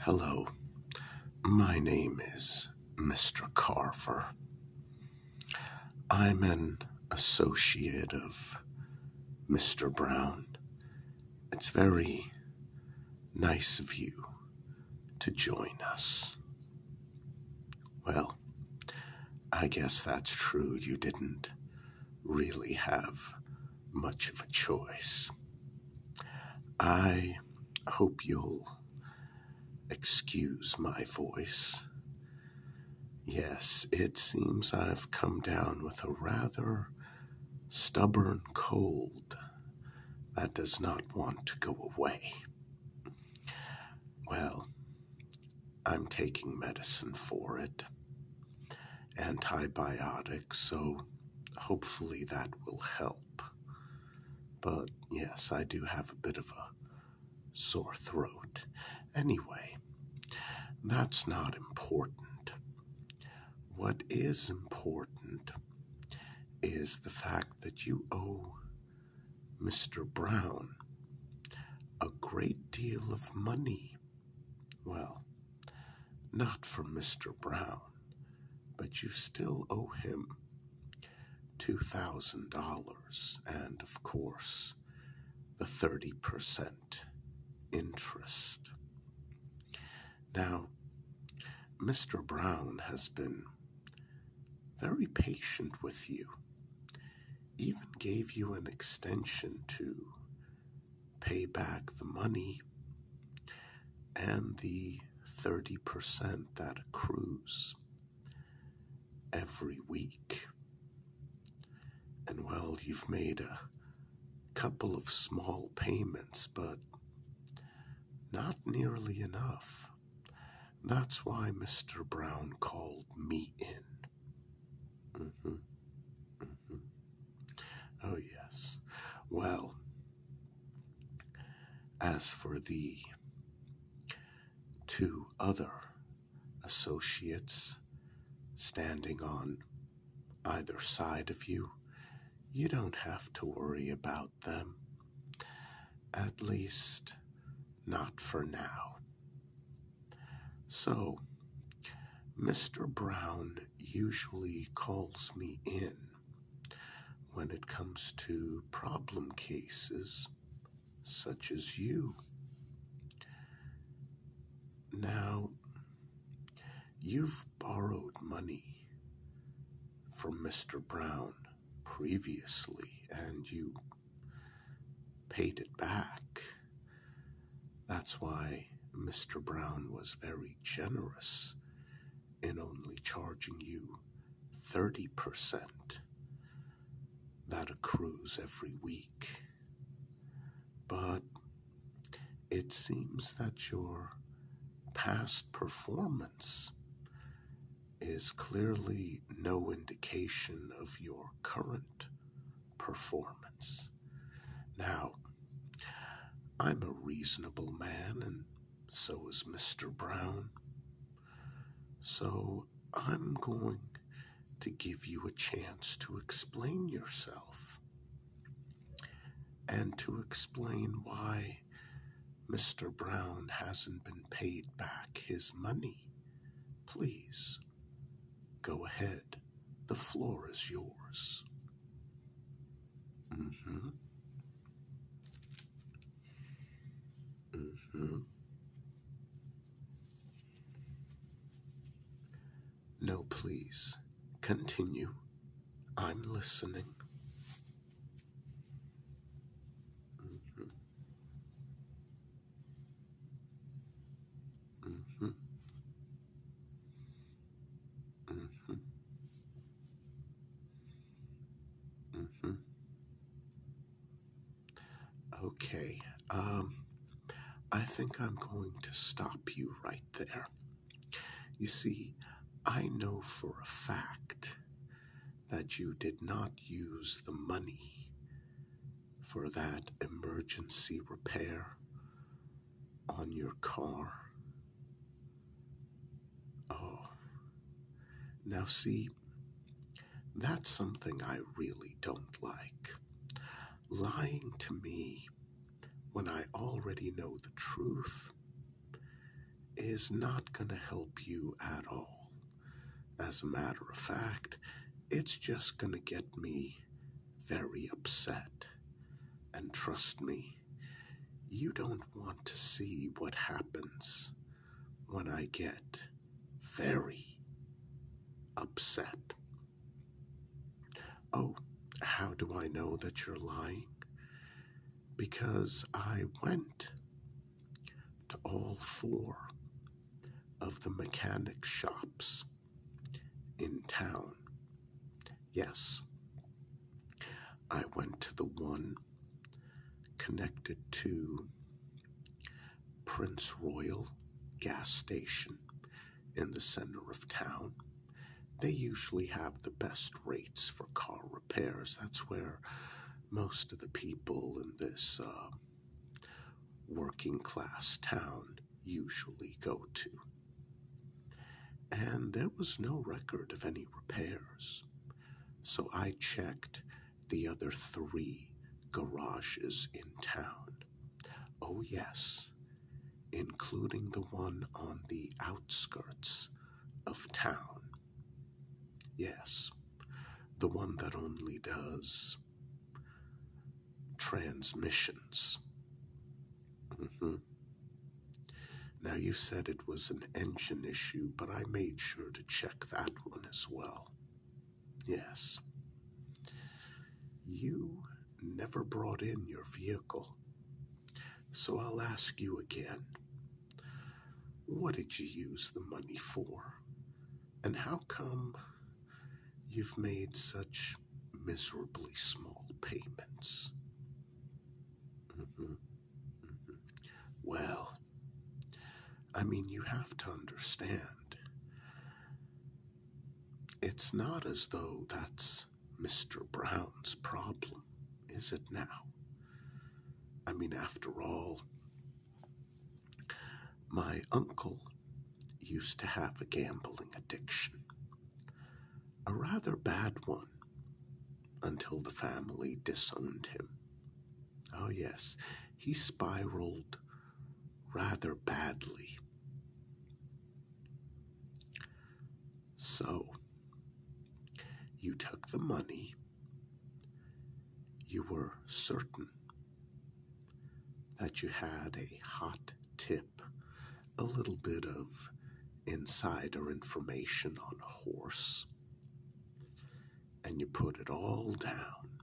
Hello, my name is Mr. Carver. I'm an associate of Mr. Brown. It's very nice of you to join us. Well, I guess that's true. You didn't really have much of a choice. I hope you'll excuse my voice. Yes, it seems I've come down with a rather stubborn cold that does not want to go away. Well, I'm taking medicine for it antibiotics, so hopefully that will help. But yes, I do have a bit of a sore throat. Anyway, that's not important. What is important is the fact that you owe Mr. Brown a great deal of money well, not for Mr. Brown, but you still owe him $2,000 and, of course, the 30% interest. Now, Mr. Brown has been very patient with you, even gave you an extension to pay back the money and the 30% that accrues every week. And well, you've made a couple of small payments, but not nearly enough. That's why Mr. Brown called me in. Mm-hmm. Mm-hmm. Oh, yes. Well, as for the two other associates standing on either side of you, you don't have to worry about them. At least, not for now. So, Mr. Brown usually calls me in when it comes to problem cases such as you. Now, you've borrowed money from Mr. Brown previously and you paid it back. That's why Mr. Brown was very generous in only charging you 30%. That accrues every week. But it seems that your past performance is clearly no indication of your current performance. Now, I'm a reasonable man, and so is Mr. Brown. So I'm going to give you a chance to explain yourself and to explain why Mr. Brown hasn't been paid back his money. Please. Go ahead. The floor is yours. Mm-hmm. Mm-hmm. No, please. Continue. I'm listening. Mm-hmm. Mm-hmm. Mm-hmm. Mm-hmm. Okay. Um, I think I'm going to stop you right there. You see, I know for a fact that you did not use the money for that emergency repair on your car. Oh, now see, that's something I really don't like. Lying to me when I already know the truth is not going to help you at all. As a matter of fact, it's just going to get me very upset. And trust me, you don't want to see what happens when I get very upset. Oh, how do I know that you're lying? Because I went to all four of the mechanic shops in town. Yes, I went to the one connected to Prince Royal gas station in the center of town. They usually have the best rates for car repairs. That's where most of the people in this uh, working class town usually go to. And there was no record of any repairs, so I checked the other three garages in town. Oh, yes, including the one on the outskirts of town. Yes, the one that only does transmissions. Mm-hmm. Now, you said it was an engine issue, but I made sure to check that one as well. Yes. You never brought in your vehicle. So I'll ask you again. What did you use the money for? And how come you've made such miserably small payments? Mm-hmm. Mm-hmm. Well, I mean, you have to understand. It's not as though that's Mr. Brown's problem, is it now? I mean, after all, my uncle used to have a gambling addiction, a rather bad one, until the family disowned him. Oh, yes, he spiraled rather badly. So, you took the money. You were certain that you had a hot tip, a little bit of insider information on a horse, and you put it all down.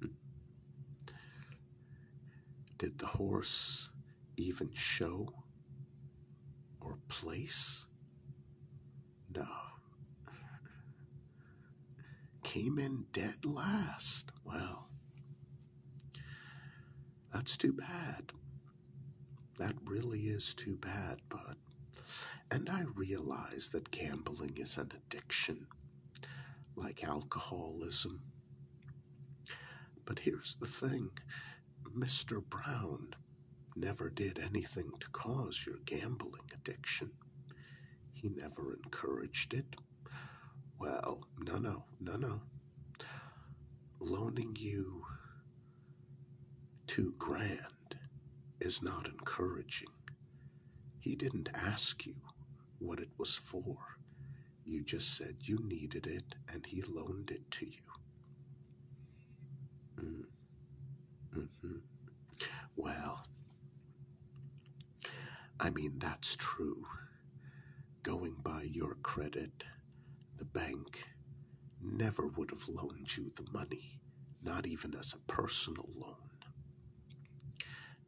Hmm. Did the horse even show or place no. Came in dead last. Well, that's too bad. That really is too bad, bud. And I realize that gambling is an addiction, like alcoholism. But here's the thing Mr. Brown never did anything to cause your gambling addiction. He never encouraged it. Well, no, no, no, no. Loaning you two grand is not encouraging. He didn't ask you what it was for. You just said you needed it and he loaned it to you. Mm. Mm -hmm. Well, I mean, that's true. Going by your credit, the bank never would have loaned you the money, not even as a personal loan.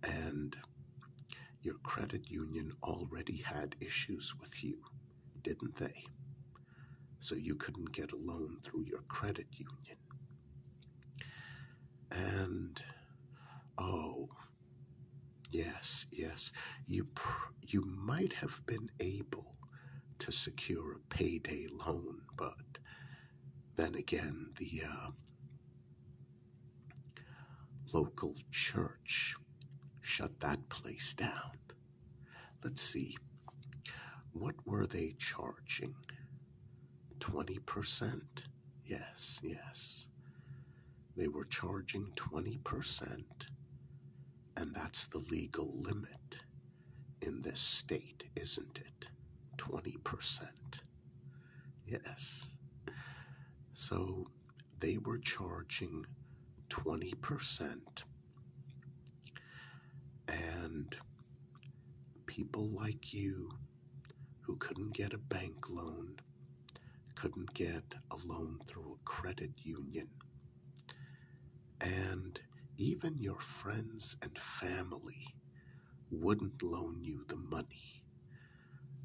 And your credit union already had issues with you, didn't they? So you couldn't get a loan through your credit union. And oh, yes, yes, you you might have been able to secure a payday loan, but then again, the uh, local church shut that place down. Let's see, what were they charging? 20%. Yes, yes. They were charging 20%, and that's the legal limit in this state, isn't it? 20%. Yes. So they were charging 20%. And People like you who couldn't get a bank loan, couldn't get a loan through a credit union, and even your friends and family wouldn't loan you the money,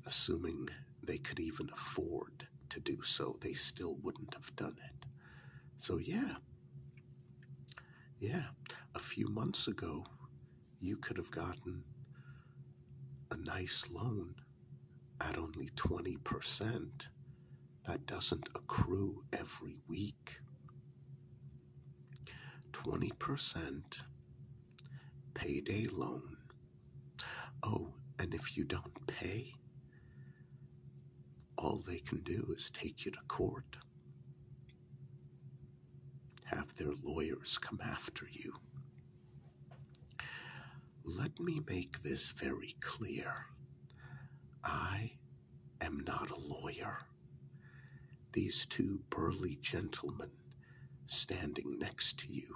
assuming they could even afford to do so. They still wouldn't have done it. So, yeah, yeah, a few months ago, you could have gotten a nice loan at only 20% that doesn't accrue every week. 20% payday loan. Oh, and if you don't pay, all they can do is take you to court have their lawyers come after you. Let me make this very clear. I am not a lawyer. These two burly gentlemen standing next to you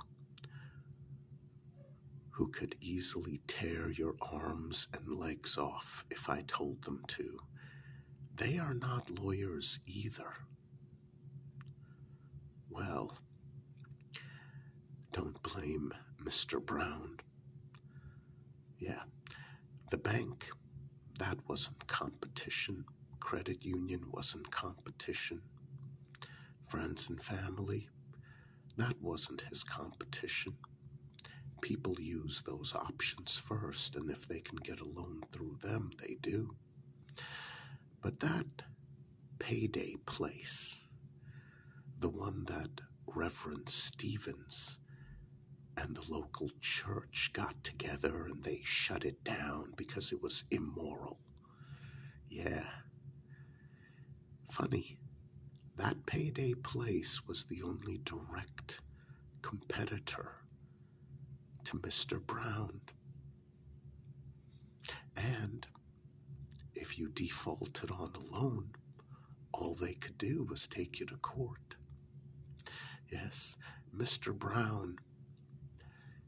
who could easily tear your arms and legs off if I told them to they are not lawyers either. Well, don't blame Mr. Brown. Yeah, the bank, that wasn't competition. Credit union wasn't competition. Friends and family, that wasn't his competition. People use those options first, and if they can get a loan through them, they do. But that payday place, the one that Reverend Stevens and the local church got together and they shut it down because it was immoral. Yeah. Funny, that payday place was the only direct competitor to Mr. Brown. And if you defaulted on a loan, all they could do was take you to court. Yes, Mr. Brown.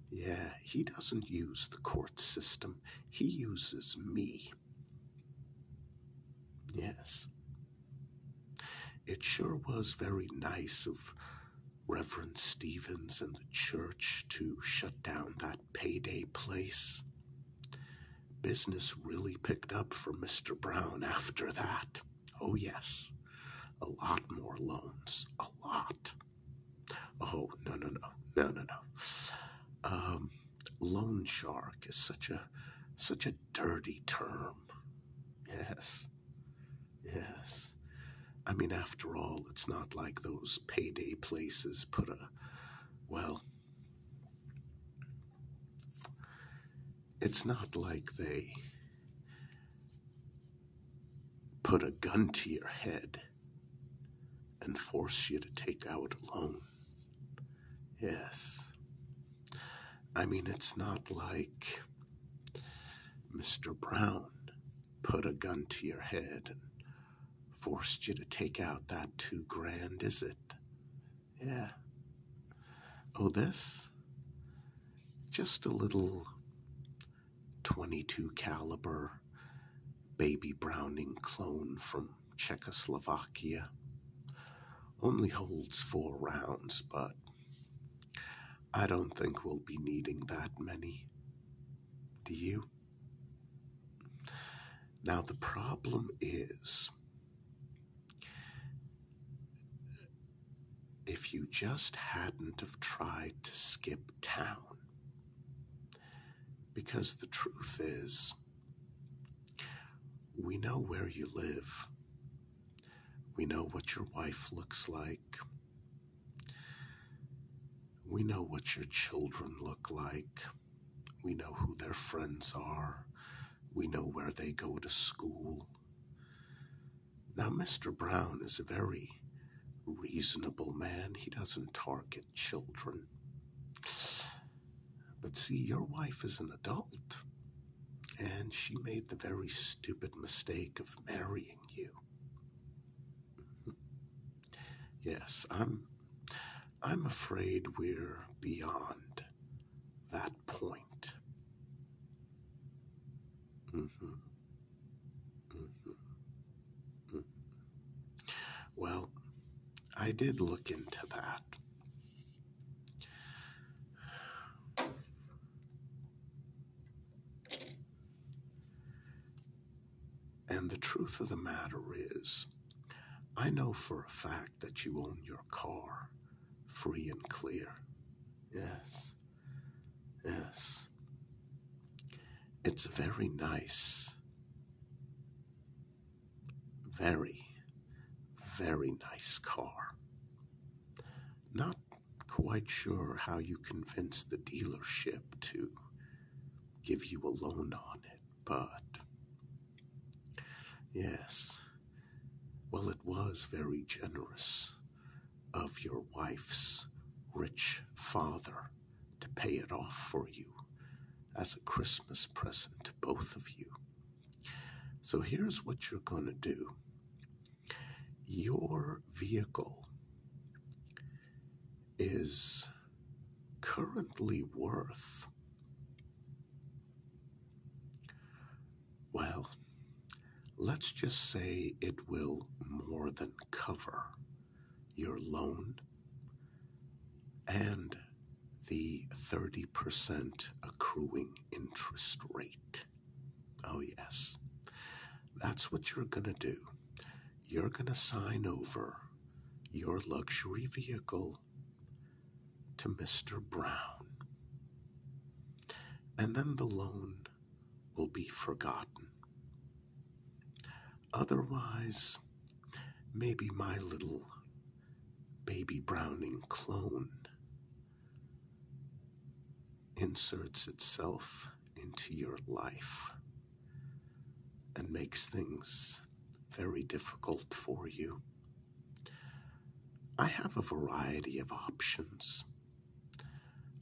Yeah, he doesn't use the court system. He uses me. Yes, it sure was very nice of Reverend Stevens and the church to shut down that payday place. Business really picked up for Mr. Brown after that. Oh, yes. A lot more loans. A lot. Oh, no, no, no. No, no, no. Um, loan shark is such a such a dirty term. Yes. Yes. I mean, after all, it's not like those payday places put a, well, it's not like they put a gun to your head and force you to take out a loan. Yes. I mean, it's not like Mr. Brown put a gun to your head and forced you to take out that two grand, is it? Yeah. Oh, this? Just a little 22 caliber baby Browning clone from Czechoslovakia. Only holds four rounds, but I don't think we'll be needing that many. Do you? Now, the problem is if you just hadn't have tried to skip town, because the truth is we know where you live. We know what your wife looks like. We know what your children look like. We know who their friends are. We know where they go to school. Now, Mr. Brown is a very reasonable man. He doesn't target children. But see, your wife is an adult, and she made the very stupid mistake of marrying you. Mm-hmm. Yes, I'm I'm afraid we're beyond that point. Mm-hmm. Mm-hmm. Well, I did look into that. And the truth of the matter is, I know for a fact that you own your car free and clear. Yes. Yes. It's very nice. Very, very nice car. Not quite sure how you convinced the dealership to give you a loan on it, but yes, well, it was very generous of your wife's rich father to pay it off for you as a Christmas present to both of you. So here's what you're going to do your vehicle is currently worth, well, let's just say it will more than cover your loan and the 30% accruing interest rate. Oh, yes. That's what you're going to do. You're going to sign over your luxury vehicle to Mr. Brown. And then the loan will be forgotten. Otherwise, maybe my little baby Browning clone inserts itself into your life and makes things very difficult for you. I have a variety of options.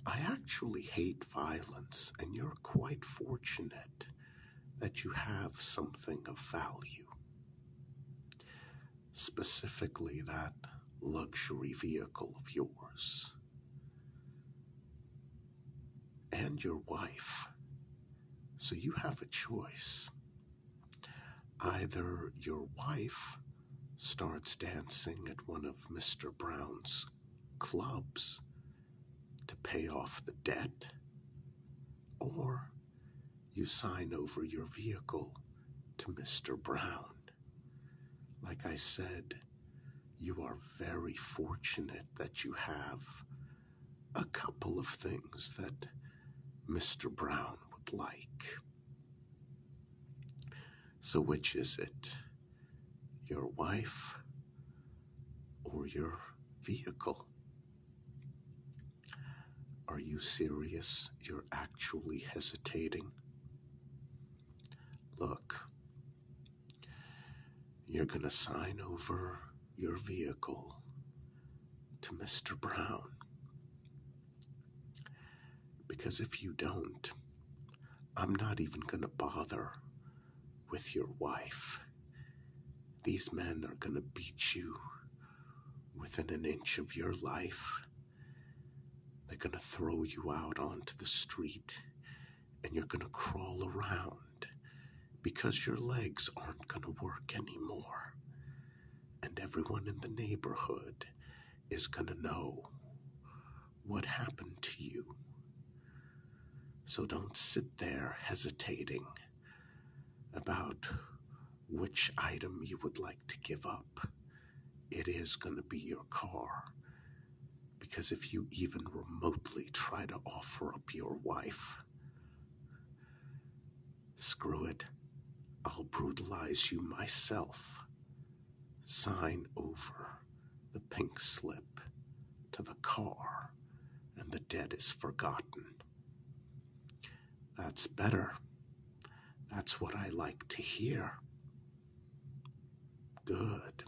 I actually hate violence, and you're quite fortunate that you have something of value. Specifically, that luxury vehicle of yours. And your wife. So you have a choice. Either your wife starts dancing at one of Mr. Brown's clubs to pay off the debt, or you sign over your vehicle to Mr. Brown. Like I said, you are very fortunate that you have a couple of things that Mr. Brown would like. So, which is it? Your wife or your vehicle? Are you serious? You're actually hesitating? Look, you're going to sign over your vehicle to Mr. Brown. Because if you don't, I'm not even going to bother with your wife. These men are going to beat you within an inch of your life. They're going to throw you out onto the street and you're going to crawl around because your legs aren't going to work anymore. And everyone in the neighborhood is going to know what happened to you. So don't sit there hesitating about which item you would like to give up. It is going to be your car. Because if you even remotely try to offer up your wife, screw it, I'll brutalize you myself. Sign over the pink slip to the car, and the dead is forgotten. That's better. That's what I like to hear. Good.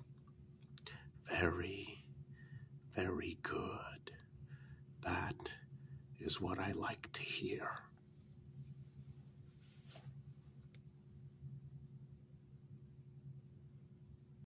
Very, very good. That is what I like to hear.